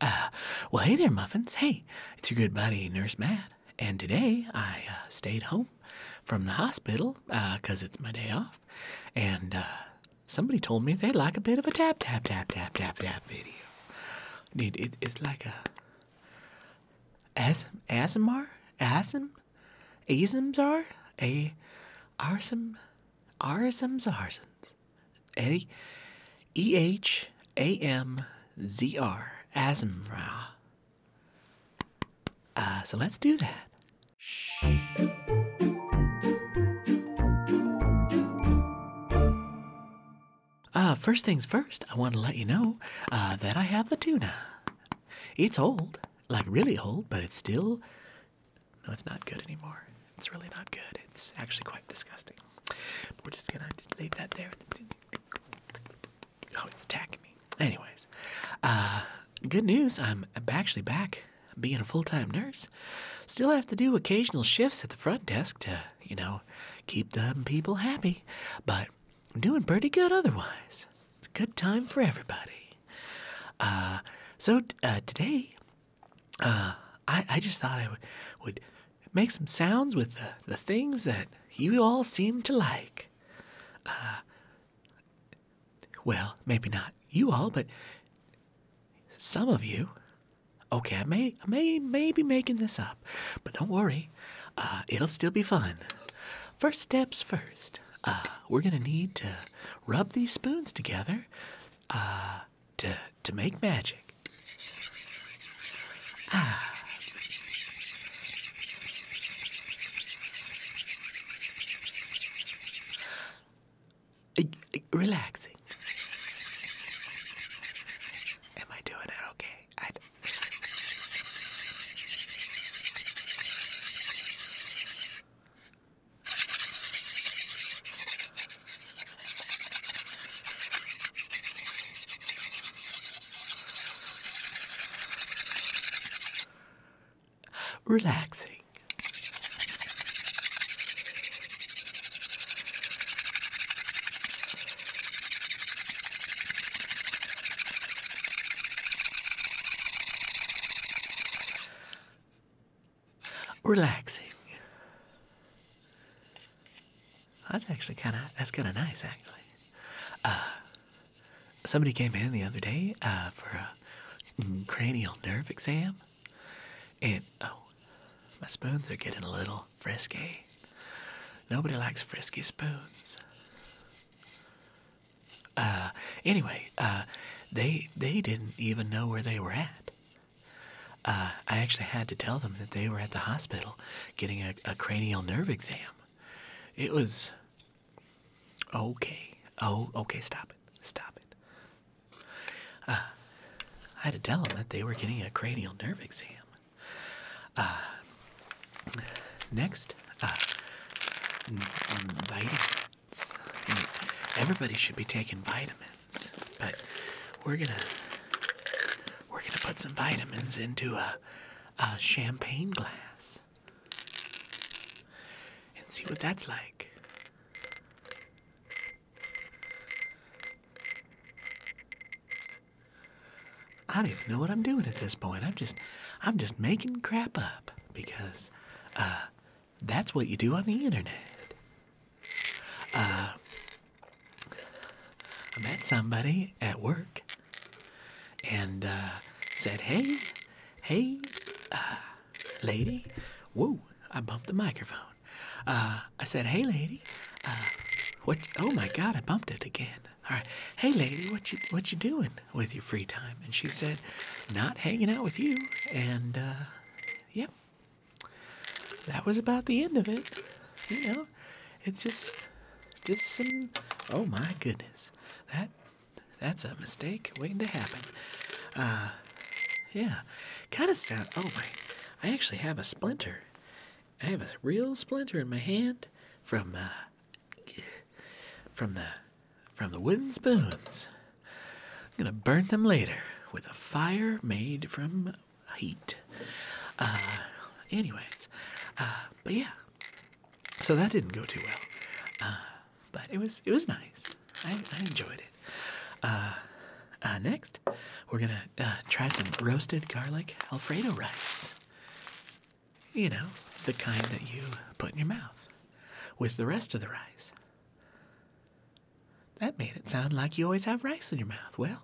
Uh, well, hey there, Muffins. Hey, it's your good buddy, Nurse Matt. And today I uh, stayed home from the hospital because uh, it's my day off. And somebody told me they'd like a bit of a tap, tap, tap, tap, tap, tap video. Dude, it, it's like a. As, ASMR? ASM? ASMs are? A. Arsum? Arsums? Arsons? Amazons. A E H A M Z R. Asmra. Uh, so let's do that. Shh. Uh, first things first, I want to let you know uh, that I have the tuna. It's old, like really old, but it's still. No, it's not good anymore. It's really not good. It's actually quite disgusting. But we're just gonna leave that there. Oh, it's attacking me. Anyways, uh, good news. I'm actually back being a full-time nurse. Still have to do occasional shifts at the front desk to, you know, keep them people happy. But I'm doing pretty good otherwise. It's a good time for everybody. Uh, so uh, today uh, I, just thought I would, would make some sounds with the, the things that you all seem to like. Uh, well, maybe not you all, but some of you. Okay, I may, may, may be making this up, but don't worry, uh, it'll still be fun. First steps first. we're gonna need to rub these spoons together to, to make magic. Ah. Relaxing. Am I doing it okay? Relaxing. Relaxing. That's actually kind of that's kind of nice, actually. Uh, somebody came in the other day uh, for a cranial nerve exam, and oh, my spoons are getting a little frisky. Nobody likes frisky spoons. Uh, anyway, they they didn't even know where they were at. Uh, I actually had to tell them that they were at the hospital getting a, cranial nerve exam. It was okay. Oh, okay. Stop it. Stop it. Uh, I had to tell them that they were getting a cranial nerve exam. Uh, next, vitamins. everybody should be taking vitamins. But we're gonna we're gonna put some vitamins into a, champagne glass and see what that's like. I don't even know what I'm doing at this point. I'm just I'm just making crap up because uh, that's what you do on the internet. Uh, I met somebody at work and uh, said, Hey, hey, uh, lady. Whoa, I bumped the microphone. Uh, I said, Hey, lady. what? Oh my God, I bumped it again. All right. Hey, lady, what you what you doing with your free time? And she said, Not hanging out with you. And yep, that was about the end of it. You know, it's just just some. Oh my goodness, that that's a mistake waiting to happen. Uh, yeah, kind of sound. Oh my, I actually have a splinter. I have a real splinter in my hand from uh, from the from the wooden spoons. I'm gonna burn them later with a fire made from heat. Uh, anyways, uh, but yeah, so that didn't go too well, uh, but it was it was nice. I, enjoyed it. next, we're gonna try some roasted garlic Alfredo rice. You know, the kind that you put in your mouth with the rest of the rice. That made it sound like you always have rice in your mouth. Well,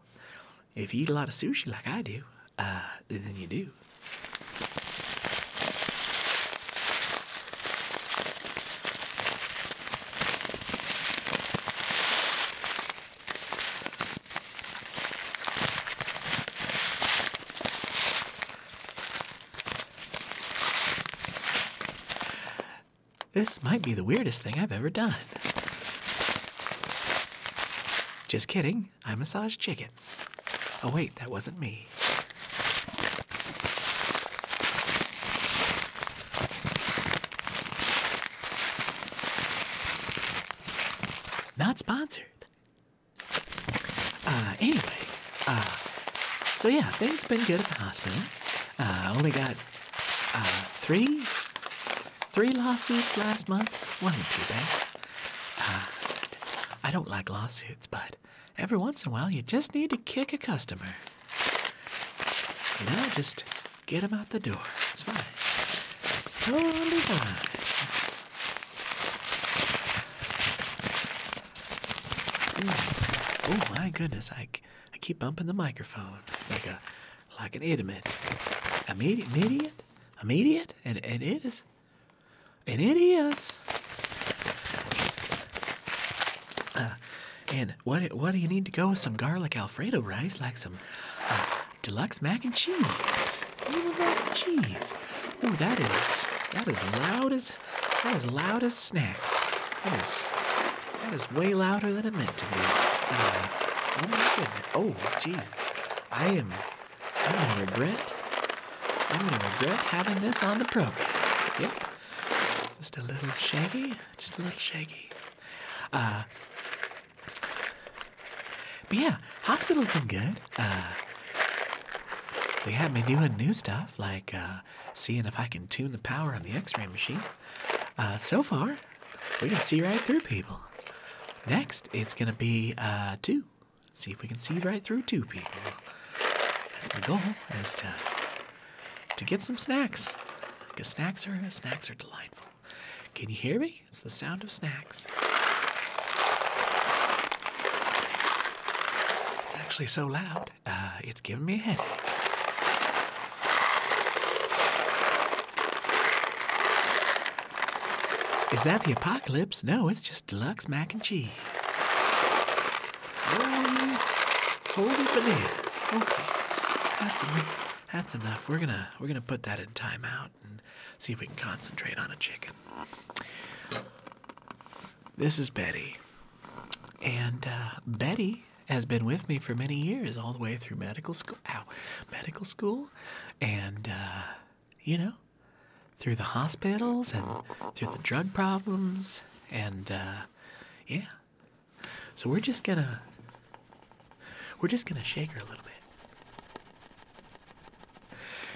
if you eat a lot of sushi like I do, uh, then you do. This might be the weirdest thing I've ever done. Just kidding, I massage chicken. Oh, wait, that wasn't me. Not sponsored. Uh, anyway, uh, so yeah, things have been good at the hospital. uh, only got uh, three Three lawsuits last month wasn't too bad. I don't like lawsuits, but every once in a while you just need to kick a customer. You know, just get them out the door. It's fine. It's totally fine. Oh my goodness, I, I keep bumping the microphone like a like an idiot. An idiot? An idiot? An idiot? And, and it is. And it is. Uh, and what do you need to go with some garlic Alfredo rice, like some uh, deluxe mac and cheese? Little mac that cheese. Ooh, that is that is loud as that is loud as snacks. That is that is way louder than it meant to be. Uh, oh my goodness. Oh, jeez. I am. I'm gonna regret. I'm gonna regret having this on the program. Yep. Just a little shaky. Just a little shaky. Uh, but yeah, hospital's been good. Uh. They had me doing new stuff, like uh, seeing if I can tune the power on the x ray machine. Uh, so far, we can see right through people. Next, it's gonna be uh, two. See if we can see right through two people. That's my goal is to to get some snacks. Cause snacks are snacks are delightful. Can you hear me? It's the sound of snacks. It's actually so loud, uh, it's giving me a headache. Is that the apocalypse? No, it's just deluxe mac and cheese. Holy, holy bananas. Okay, that's enough. We're gonna we're gonna put that in timeout and see if we can concentrate on a chicken. This is Betty, and uh, Betty has been with me for many years, all the way through medical school. Ow, medical school and, uh, you know, through the hospitals and through the drug problems. And, uh, yeah. So we're just gonna, we're just gonna shake her a little bit.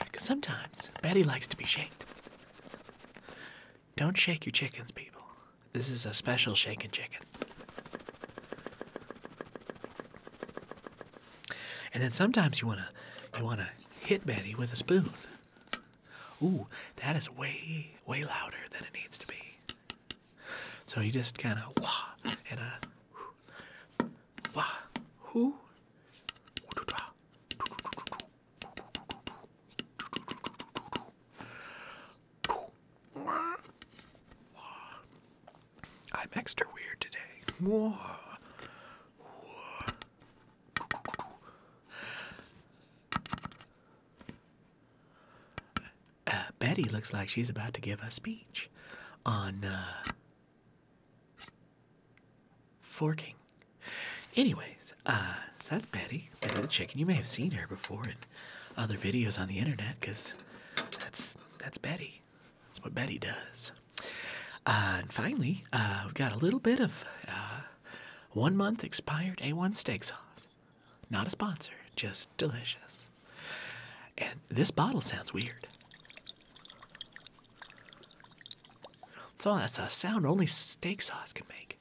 Because sometimes Betty likes to be shaken. Don't shake your chickens, people. This is a special shaken chicken. And then sometimes you wanna you wanna hit Betty with a spoon. Ooh, that is way way louder than it needs to be. So you just kind of wah and a wah whoo. I'm extra weird today. Whoa. Whoa. Uh, Betty looks like she's about to give a speech on uh, forking. Anyways, uh, so that's Betty, Betty the Chicken. You may have seen her before in other videos on the internet because that's, that's Betty. That's what Betty does. Uh, and finally, uh, we've got a little bit of uh, one month expired A1 steak sauce. Not a sponsor, just delicious. And this bottle sounds weird. So that's a sound only steak sauce can make.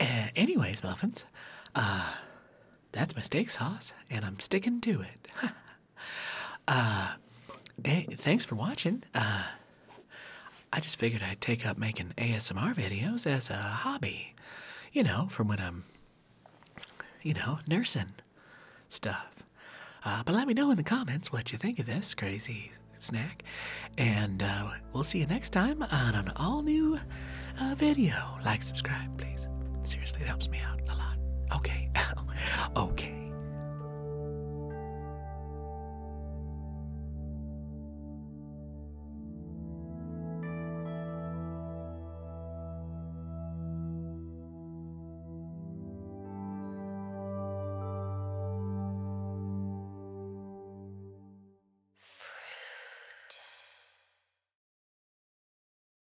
Uh, anyways, muffins, uh, that's my steak sauce, and I'm sticking to it. Uh, thanks for watching. Uh, I just figured I'd take up making ASMR videos as a hobby, you know, from when I'm, you know, nursing stuff. Uh, but let me know in the comments what you think of this crazy snack, and we'll see you next time on an all new video like, subscribe, please. Seriously, it helps me out a lot. Okay. okay. Fruit.